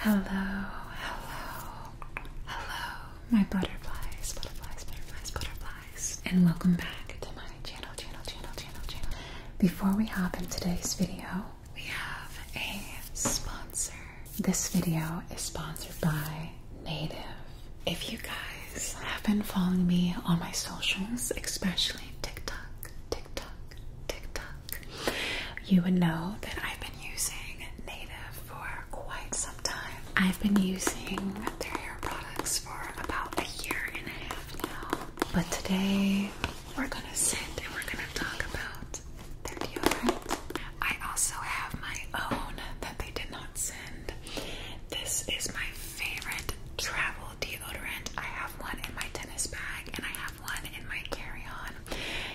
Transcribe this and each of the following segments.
Hello, hello, hello, my butterflies, butterflies, butterflies, butterflies, and welcome back to my channel, channel, channel, channel, channel. Before we hop in today's video, we have a sponsor. This video is sponsored by Native. If you guys have been following me on my socials, especially TikTok, TikTok, TikTok, you would know that I've been using Native for quite some time. I've been using their hair products for about a year and a half now. But today we're gonna sit and we're gonna talk about their deodorant. I also have my own that they did not send. This is my favorite travel deodorant. I have one in my tennis bag and I have one in my carry-on.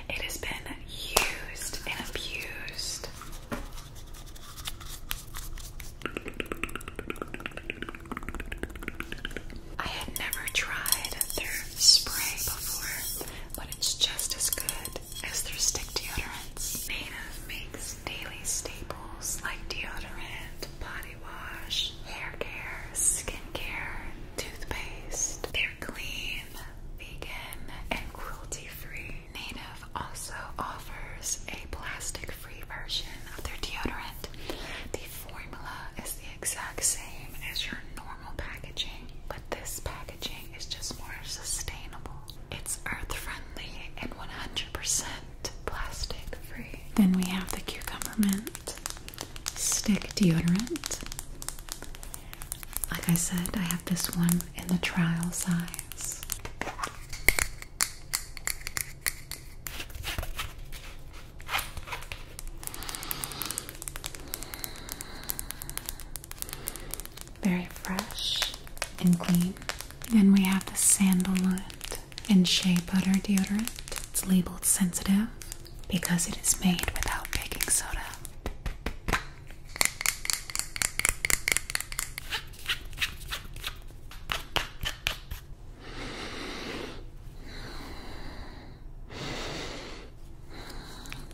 It has been used and abused. I had never tried their spray before, but it's just as good as their stick deodorants. Native makes daily staples like deodorant, pot wash, hair care, skin toothpaste. They're clean, vegan, and cruelty free. Native also offers a plastic free version of their deodorant. The formula is the exact same as your normal packaging, but this packaging is just more sustainable. It's earth friendly and 100% plastic free. Then we have the cucumber mint stick deodorant. Like I said, I have this one in the trial size. Very fresh and clean. Then we have the sandalwood and shea butter deodorant. It's labeled sensitive because it is made without baking soda.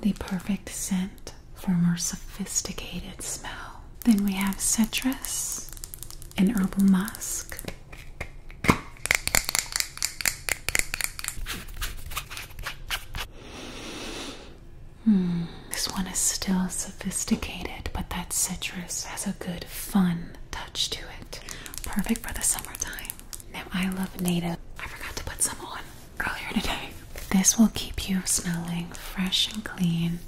The perfect scent for more sophisticated smell. Then we have citrus and herbal musk. Hmm, this one is still sophisticated, but that citrus has a good, fun touch to it. Perfect for the summertime. Now, I love native. I forgot to put some on earlier today. This will keep you smelling fresh and clean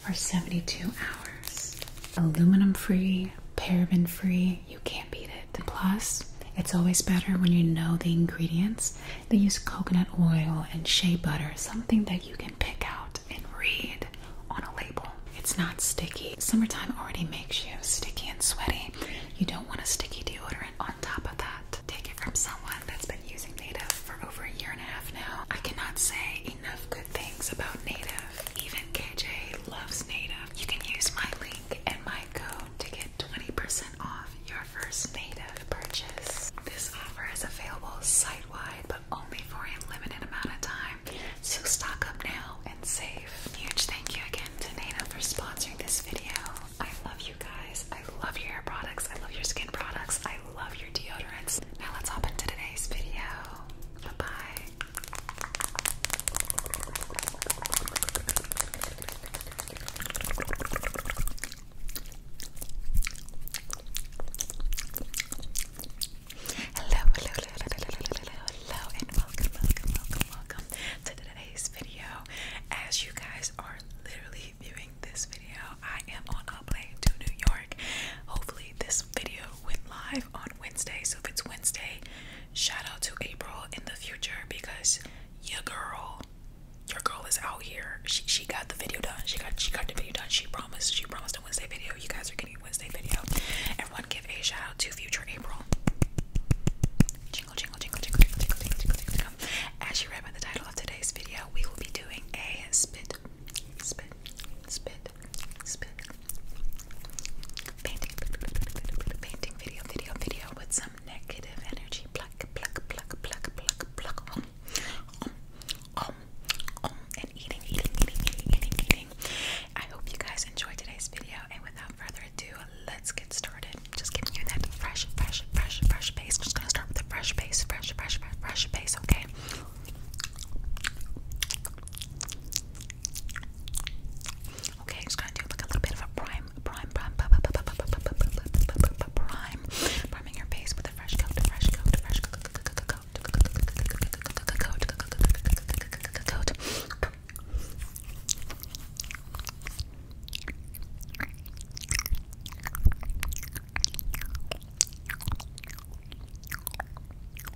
for 72 hours. Aluminum free, paraben free, you can't beat it. Plus, it's always better when you know the ingredients. They use coconut oil and shea butter, something that you can pick out and read on a label. It's not sticky. Summertime already makes you sticky and sweaty. You don't want a sticky deodorant on top of that. Take it from someone that's been using Native for over a year and a half now. I cannot say enough good things about Native. Even KJ loves Native. You can use my link and my code to get 20% off your First Native purchase. This offer is available site-wide, but only for a limited amount of time. So stock up now and save. Huge thank you again to Native for sponsoring this video. I love you guys. I love your hair products. I love your skin products. I love your deodorants. Now let's hop into today's video. Bye-bye. Hello, hello, hello, hello, hello, hello, hello, and welcome, welcome, welcome, welcome to today's video. As you guys are literally viewing this video, I am on a plane to New York. Hopefully, this video went live on Wednesday. So if it's Wednesday, shout out to April in the future because your girl, your girl is out here. She she got the video done. She got she got the video done. She promised she promised a Wednesday video. You guys are getting a Wednesday video. Everyone give a shout out to future April. As you read by the title of today's video, we will be doing a spit, spit, spit, Painting, video, video, video with some negative energy. Pluck, pluck, pluck, pluck, pluck, pluck. Um, um, um, and eating, eating, eating, eating, eating, eating. I hope you guys enjoyed today's video. And without further ado, let's get started. Just giving you that fresh, fresh, fresh, fresh base. Just gonna start with a fresh base, fresh, fresh, fresh, fresh base. Okay. Okay, i just gonna do like a little bit of a prime, prime, prime, prime, prime, priming your face with a fresh coat, fresh coat, fresh coat, coat, coat, coat.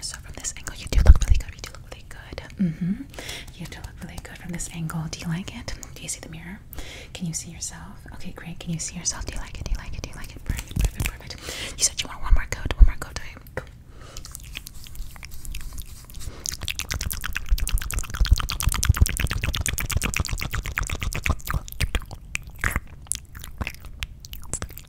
So from this angle, you do look really good. You do look really good. Mm-hmm. You do look really good from this angle. Do you like it? Do you see the mirror? Can you see yourself? Okay, great. Can you see yourself? Do you like it? Do you like it? Do you like it? Perfect, perfect, perfect. You said you want one more coat. One more coat time. Go.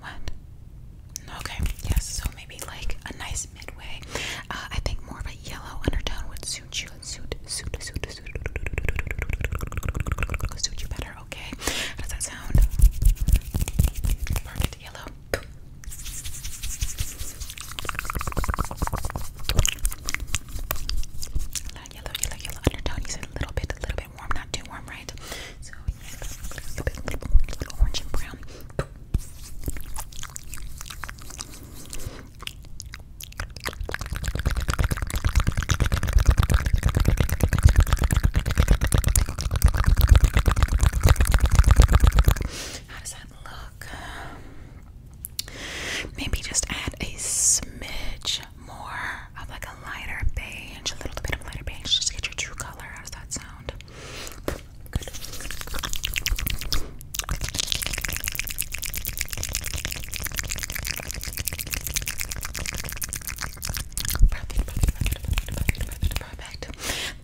What? Okay, yes, so maybe like a nice midway. I think more of a yellow undertone would suit you. Suit, suit, suit, suit, suit you better, okay? How does that sound? Perfect yellow. Yellow, yellow, yellow undertone. You said a little bit, a little bit warm, not too warm, right? So a little, orange and brown. How does that look? Maybe just add a smidge more of like a a lighter beige, a little bit of lighter beige, just to get your true color. How does that sound? perfect.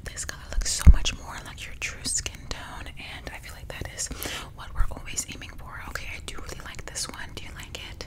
This color looks so much more like your true skin tone, and I feel like that is what we're always aiming for. Okay, I do really like this one. Do you like it?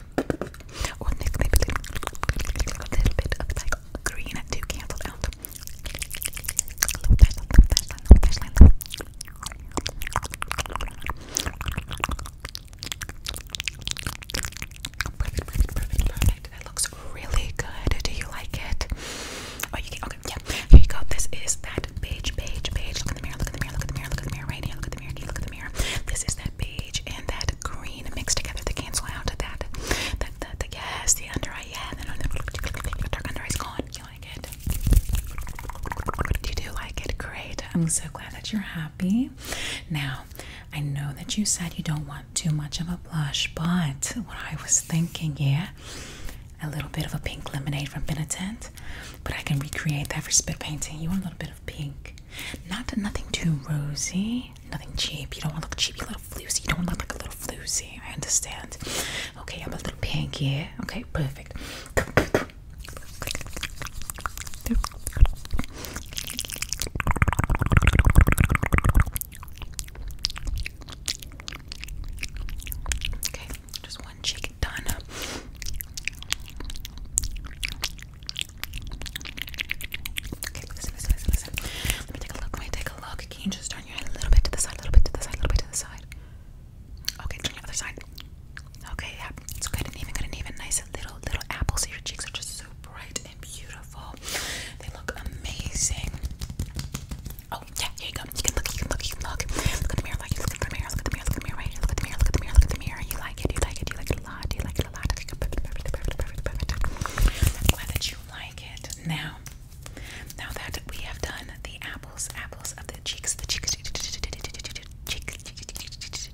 a little bit of like green to cancel out. Low baseline, That looks really good. Do you like it? Oh, you Okay, yeah. Here you go. This is that beige, beige, beige. Look in the mirror. Look in the mirror. Look in the mirror. Look in the mirror. Right here. Look at the mirror. Look at the mirror. This is that beige and that green green together to cancel out that. The, the, the yes, the under eye, yeah, then the dark under eye's gone. You like it? You do like it. Great. I'm so glad that you're happy. Now, I know that you said you don't want too much of a blush, but what I was thinking, yeah, a little bit of a pink lemonade from Benetent, but I can recreate that for spit painting. You want a little bit of pink. Not nothing too rosy, nothing cheap. You don't want to look cheap, you little floozy. You don't want to look like a little floozy. I understand. Okay, I'm a little pinky. yeah. Okay, perfect. Okay, just one cheek done. Okay, listen, listen, listen, listen. Let me take a look. Let me take a look. Can you just turn your head a little bit to the side, a little bit to the side, a little bit to the side? Okay, turn the other side. Okay, yeah, it's good and even, good and even. Nice little, little apples. So your cheeks are just so bright and beautiful. They look amazing. Oh, yeah, here you go. You can look, you can look, you can look. Look at the mirror, like you look at the mirror, look at the mirror, look at the mirror right here. Look at the mirror, look at the mirror, look at the mirror. You like it, you like it, you like it a lot. You like it it a lot. I think perfect, perfect, perfect, perfect, perfect. I'm glad that you like it. Now, now that we have done the apples, apples of the cheeks, the cheeks, cheeks, cheeks,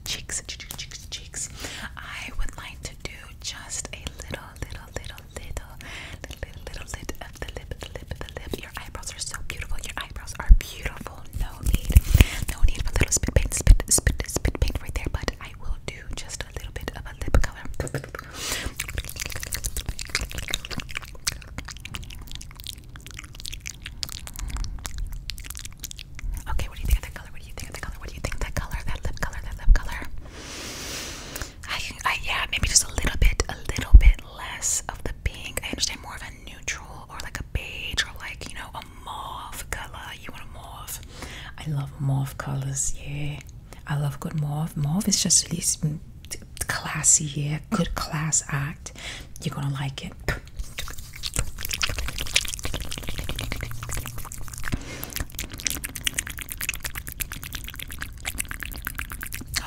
cheeks, cheeks, cheeks, I would like to do just a little, little, little, little, little, little, little lid of the lip, the lip, the lip. Your eyebrows are so beautiful. Your eyebrows are beautiful. No need, no need for little spit paint, spit, spit, spit paint right there. But I just a little bit of a lip color. Okay, what do you think of that color? What do you think of that color? What do you think of that color? That lip color, that lip color. yeah, maybe just a little bit, a little bit less of the pink. I understand more of a neutral or like a beige or like, you know, a color. You want a mauve? I love mauve colors. Yeah, I love good mauve. Mauve is just really classy. Yeah, good class act. You're gonna like it.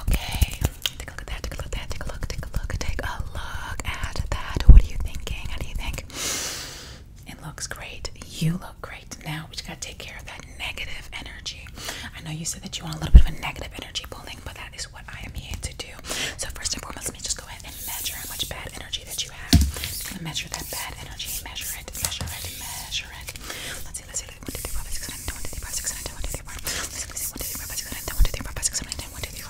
Okay, take a look at that, take a look at that, take a look, take a look, take a look at that. What are you thinking? How do you think? It looks great. You look great. Now we just gotta take care of that negative energy. I know you said that you want a little bit of a negative energy pulling, but that is what I am here to do. So first and foremost, let me just go ahead and measure how much bad energy that you have. Just gonna measure that bad energy. Measure it. Measure it. Measure it. Let's see. Let's see. One, two, three, four, five, six, seven, eight, nine, one, two, three, four, six, seven, eight, nine, one, two, three, four. Let's see. Let's see. One, two, three, four, five, six, seven, eight, nine, one, two, three, four, five, six, seven, eight, nine, one, two, three,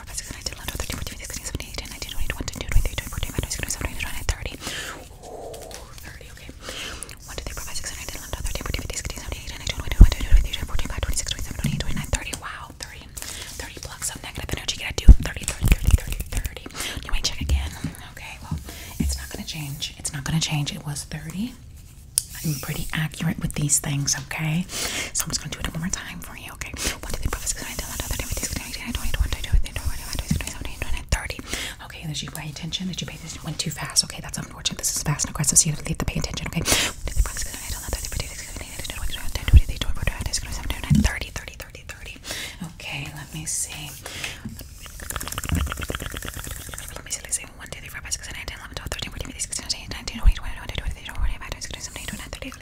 24, 25, okay. 1, Wow, 30. 30 blocks of negative energy. Can I do 30, 30, 30, 30, 30? You ain't check again. Okay, well, it's not going to change. It's not going to change. It was 30. I'm pretty accurate with these things, okay? So I'm just going to do it one more time for okay? One, two, three, four, five, six, nine, ten, eleven, twelve, thirteen, fourteen, fifteen, sixteen, seventeen, eighteen, nineteen, twenty,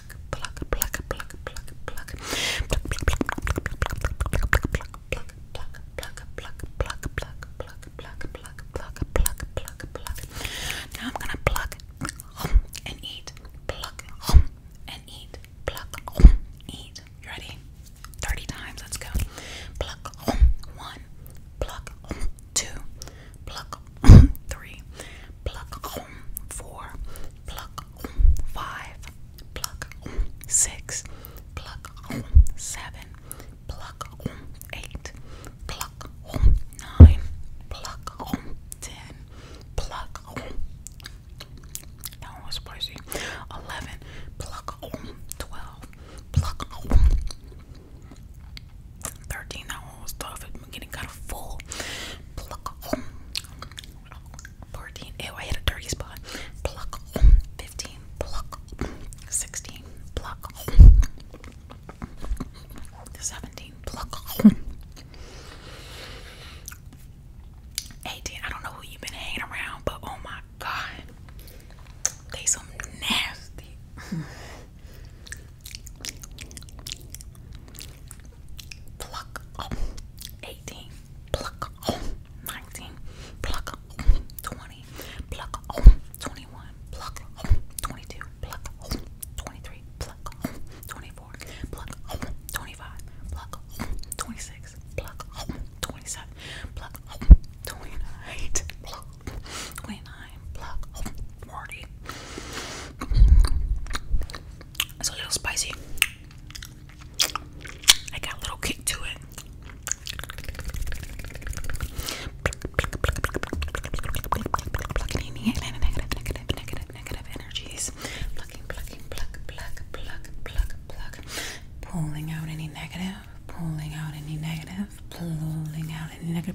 Now I'm gonna pluck home and eat. Pluck home and eat. Pluck home eat. You ready? 30 times, let's go. Pluck one. Pluck two. Pluck three. Pluck four. Pluck five, pluck six, pluck seven, pluck eight, pluck nine, pluck ten, pluck that one was spicy. Eleven, pluck twelve, pluck thirteen, that Oh, stuff. I'm getting kind of full. Um, 14. Ew, I hit a dirty spot. Um, 15. Um, 16. 17. 18. I don't know who you've been hanging around, but oh my god. They some nasty pluck um, 18 pluck um, 19 pluck um, 20 pluck um, 21 pluck um, 22 pluck um, 23 pluck um, 24 pluck um, 25 pluck um, 26 pluck um, 27 pluck um, 29 pluck um, 29 pluck um, 40 it's a little spicy. I got a little kick to it. Pulling out any negative, pulling out any negative, pulling out any negative.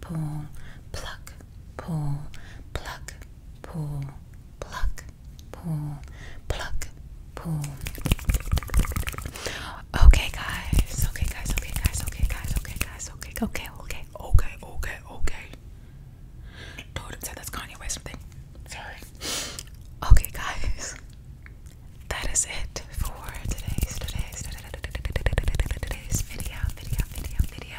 pull, pluck, pull, pluck, pull, pluck, pull, pluck, pull. Okay, guys. Okay, guys. Okay, guys. Okay, guys. Okay, guys. Okay, okay, okay, okay, okay, okay. Told him said that's Kanye West something. Sorry. Okay, guys. That is it for today's today's today's today's video video video video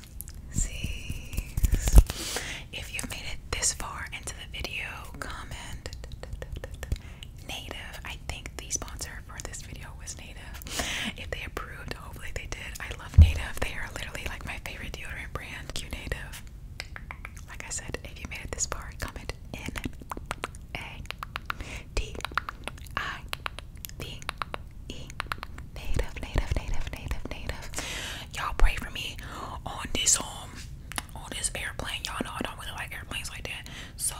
C's. If you made it this far into the video, comment native. I think the sponsor for this video was native. If they approved, hopefully they did. I love native. They are literally like my favorite deodorant brand. Q native. Like I said, if you made it this far, comment N A T I V E native, native, native, native, native. Y'all pray for me on this um on this airplane. Y'all know I don't really like airplanes like that. So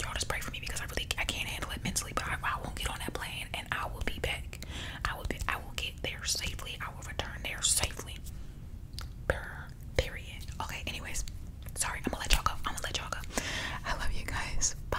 y'all just pray for me because I really I can't handle it mentally, but I, I won't get on that plane and I will be back. I will be I will get there safely. I will return there safely. Period. Okay, anyways. Sorry, I'm gonna let y'all go. I'm gonna let y'all go. I love you guys. Bye.